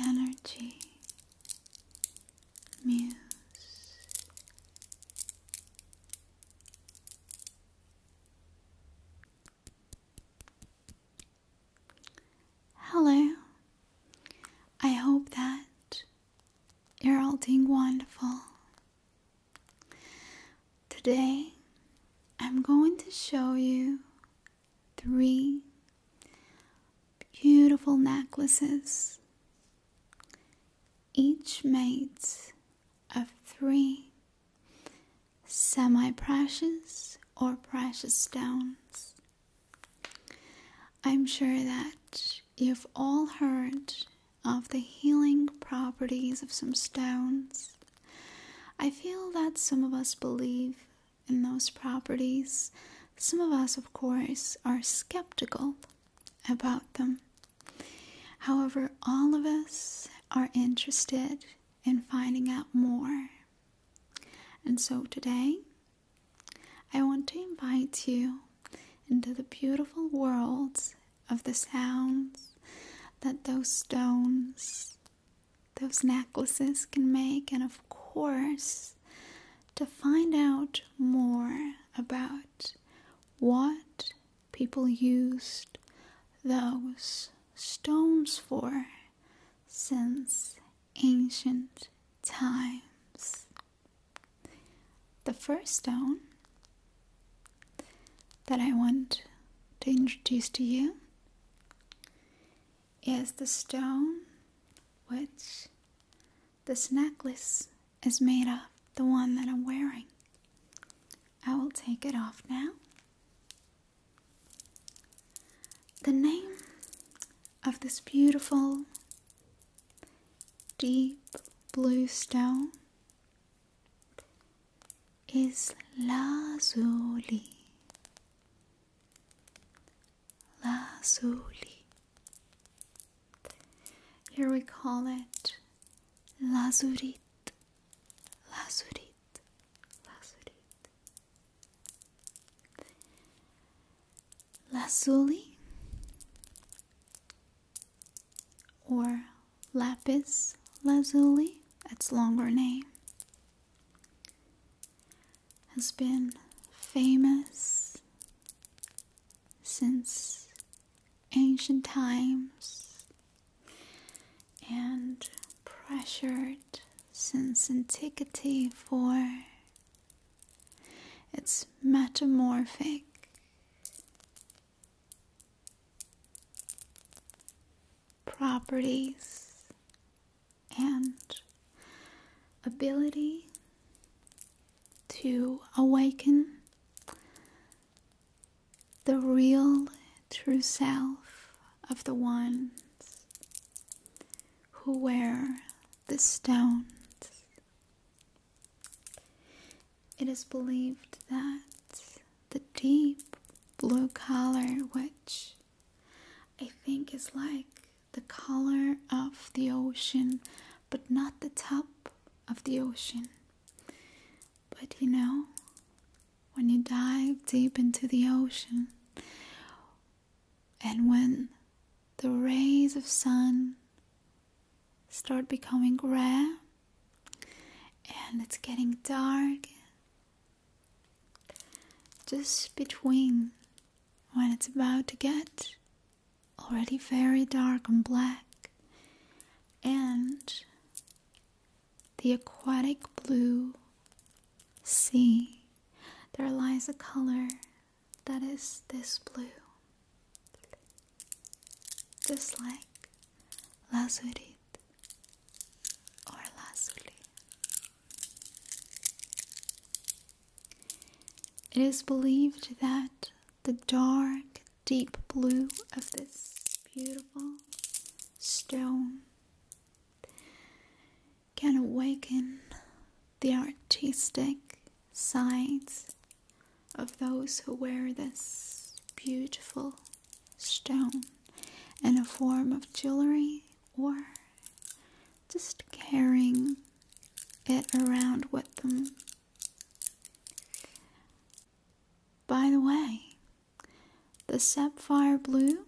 energy, muse. Hello, I hope that you're all doing wonderful. Today, I'm going to show you three beautiful necklaces, each made of three semi precious or precious stones. I'm sure that you've all heard of the healing properties of some stones. I feel that some of us believe in those properties, some of us, of course, are skeptical about them. However, all of us are interested in finding out more. And so today, I want to invite you into the beautiful worlds of the sounds that those stones those necklaces can make, and of course, to find out more about what people used those stones for since ancient times. The first stone that I want to introduce to you is the stone which this necklace is made of, the one that I'm wearing. I will take it off now. The name of this beautiful deep blue stone is lazuli lazuli. Here we call it lazurite, lazurite, lazurit. Lazuli or lapis lazuli, that's longer name has been famous since ancient times and pressured since antiquity for its metamorphic properties and ability to awaken the real true self of the ones who wear the stones. It is believed that the deep blue color which I think it's like the color of the ocean, but not the top of the ocean. But you know, when you dive deep into the ocean, and when the rays of sun start becoming gray and it's getting dark just between when it's about to get already very dark and black and the aquatic blue sea, there lies a color that is this blue, just like lazuli or lazuli. It is believed that the dark, deep blue of this beautiful stone can awaken the artistic sides of those who wear this beautiful stone in a form of jewelry or just carrying it around with them. By the way, the sapphire blue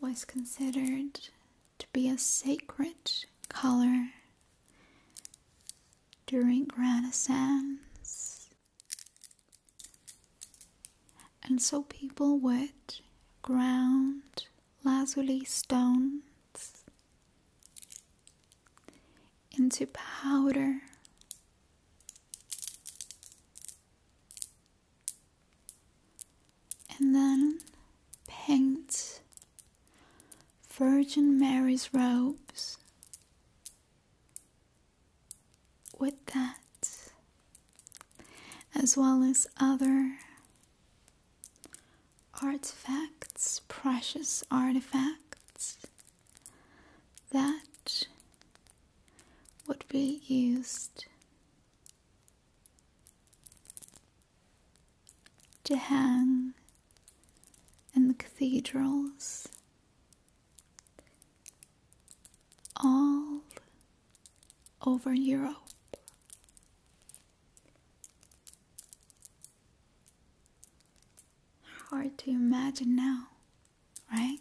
was considered to be a sacred color during Renaissance and so people would ground lazuli stones into powder. And then paint Virgin Mary's robes with that, as well as other artifacts, precious artifacts that would be used to hang in the cathedrals all over Europe. Hard to imagine now, right?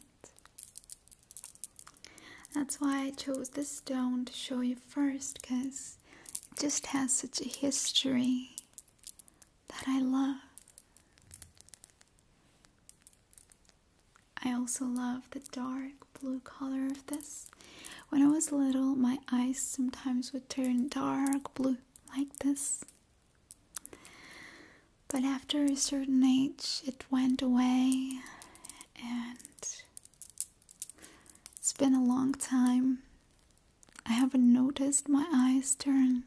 That's why I chose this stone to show you first, because it just has such a history that I love. I also love the dark blue color of this. When I was little, my eyes sometimes would turn dark blue like this. But after a certain age, it went away, and it's been a long time. I haven't noticed my eyes turn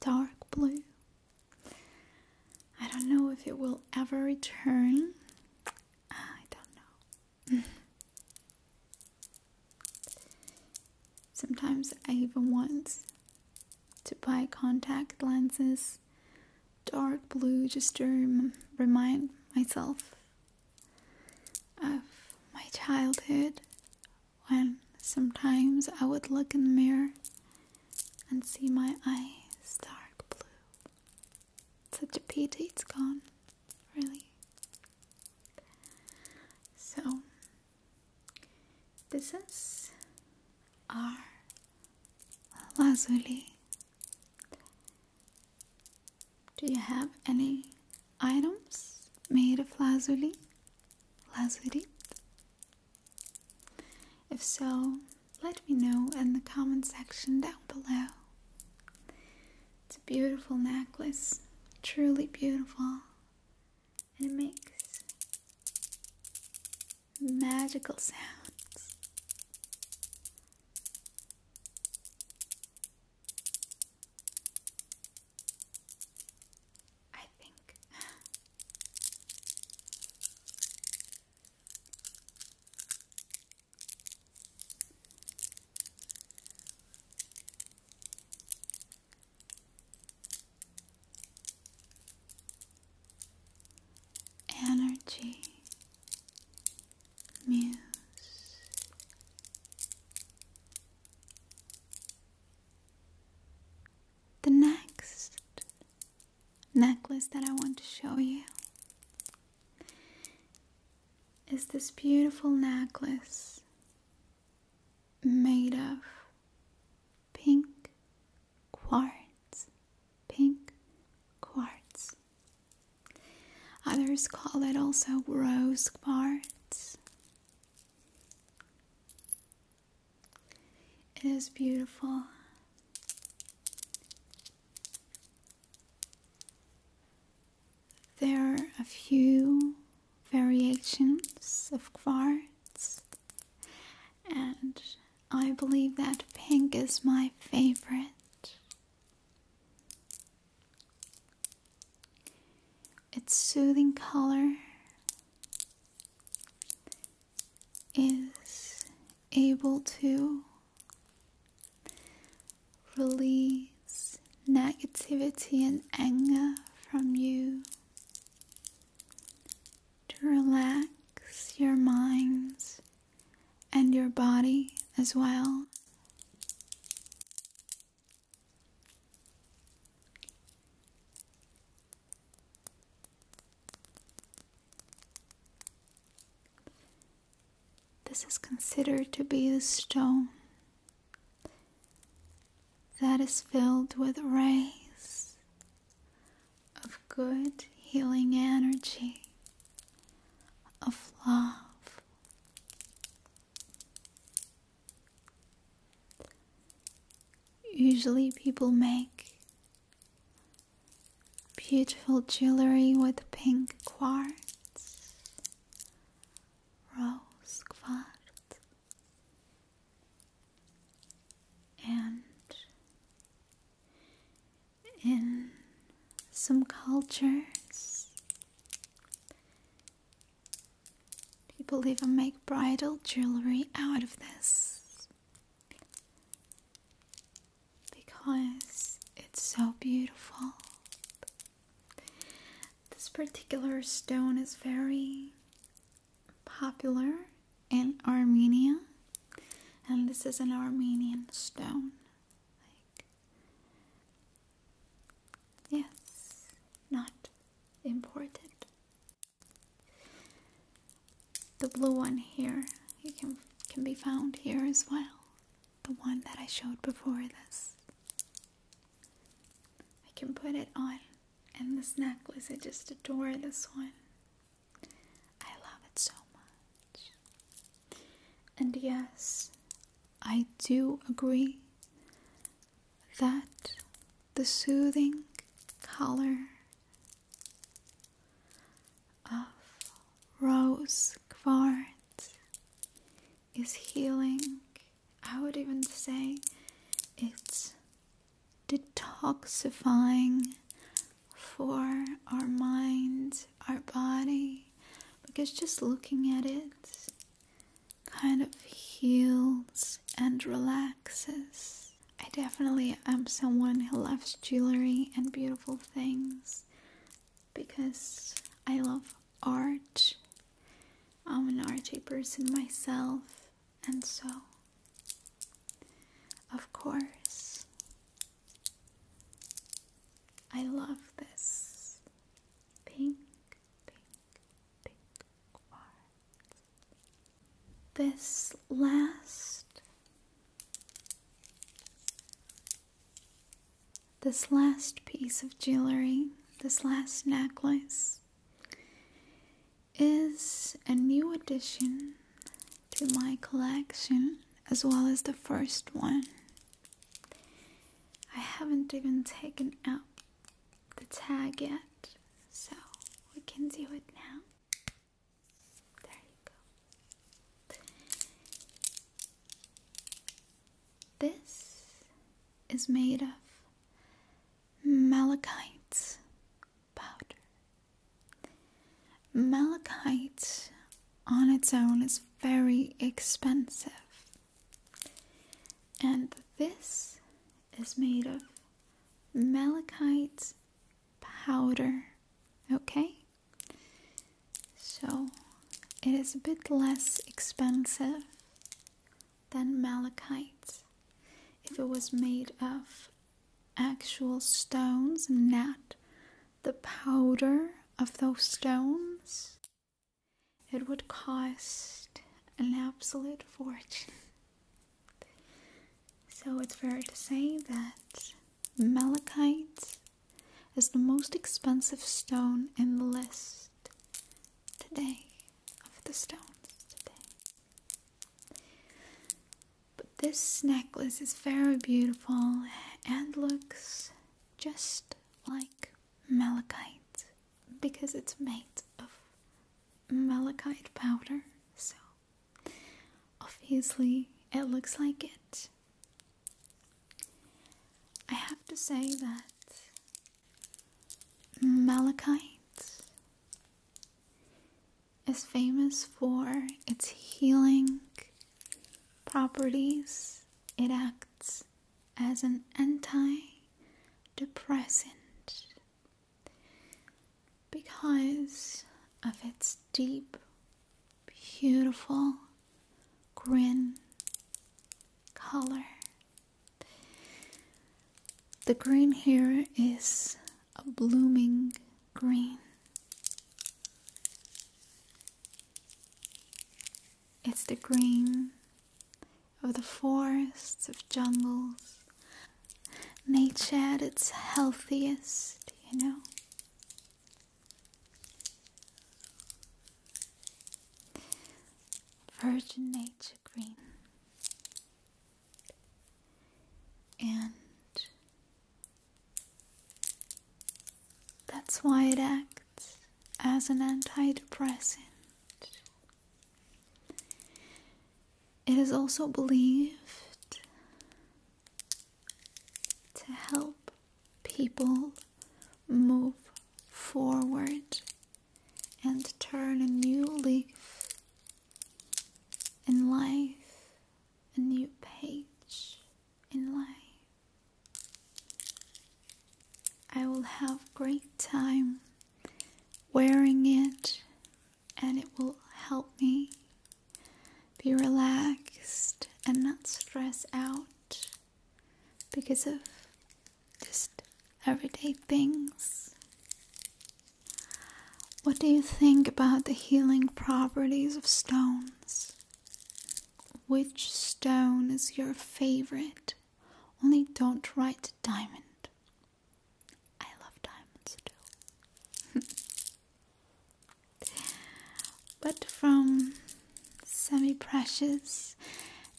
dark blue. I don't know if it will ever return. Ah, I don't know. Sometimes I even want to buy contact lenses, dark blue, just to remind myself of my childhood when sometimes I would look in the mirror and see my eyes dark blue. Such a pity it's gone, really. So, this is our lazuli. Do you have any items made of lazuli? Lazuli? If so, let me know in the comment section down below. It's a beautiful necklace, truly beautiful, and it makes magical sounds. I think. Energy Muse The next necklace that I want to show you is this beautiful necklace made of pink quartz. Pink quartz. Others call it also rose quartz. It is beautiful. There are a few variations of quartz, and I believe that pink is my favorite. It's soothing color is able to release negativity and anger from you, to relax your minds and your body as well. This is considered to be the stone that is filled with rays of good healing energy, of love. Usually, people make beautiful jewelry with pink quartz, rose quartz, and in some cultures, People even make bridal jewelry out of this because it's so beautiful. This particular stone is very popular in Armenia, and this is an Armenian stone. yes, not imported. The blue one here, you can can be found here as well. The one that I showed before this. I can put it on and this necklace, I just adore this one. I love it so much. And yes, I do agree that the soothing color of rose quartz is healing. I would even say it's detoxifying for our mind, our body, because just looking at it kind of heals and relaxes. I definitely am someone who loves jewelry and beautiful things because I love art. I'm an arty person myself, and so, of course, I love this pink, pink, pink quartz this last this last piece of jewelry, this last necklace is a new addition to my collection as well as the first one. I haven't even taken out the tag yet, so we can do it now. There you go. This is made of malachite powder. Malachite on its own is very expensive, and this is made of malachite powder. Okay, so it is a bit less expensive than malachite if it was made of actual stones, not the powder of those stones. It would cost an absolute fortune. So it's fair to say that malachite is the most expensive stone in the list today of the stones But this necklace is very beautiful and looks just like malachite because it's made of malachite powder, so obviously it looks like it. I have to say that malachite is famous for its healing properties. It acts as an antidepressant because of its deep, beautiful green color. The green here is a blooming green. It's the green of the forests, of jungles, nature at its healthiest, you know. Virgin nature green. And that's why it acts as an antidepressant. It is also believed to help people move forward and turn a new leaf in life, a new page in life. I will have great time wearing it and it will help me be relaxed and not stress out because of just everyday things. What do you think about the healing properties of stones? Which stone is your favorite? Only don't write diamond. I love diamonds too. but from semi precious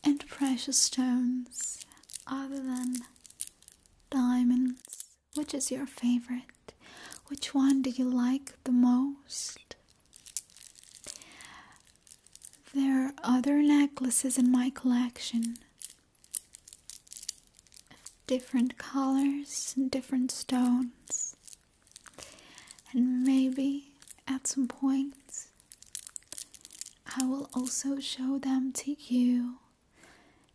and precious stones other than diamonds, which is your favorite? Which one do you like the most? There are other necklaces in my collection of different colors and different stones, and maybe at some point I will also show them to you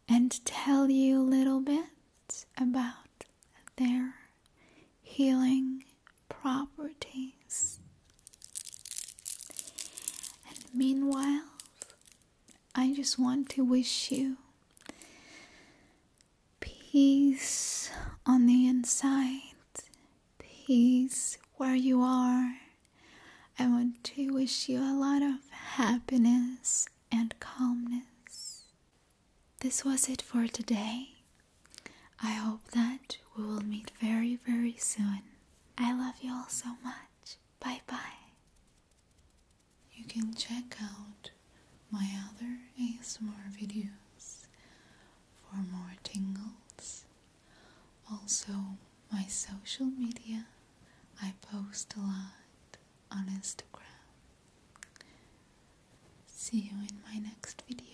and tell you a little bit about their healing properties. And meanwhile, I just want to wish you peace on the inside, peace where you are. I want to wish you a lot of happiness and calmness. This was it for today. I hope that we will meet very, very soon. I love you all so much. Bye bye. You can check out my other ASMR videos for more tingles. Also, my social media. I post a lot on Instagram. See you in my next video.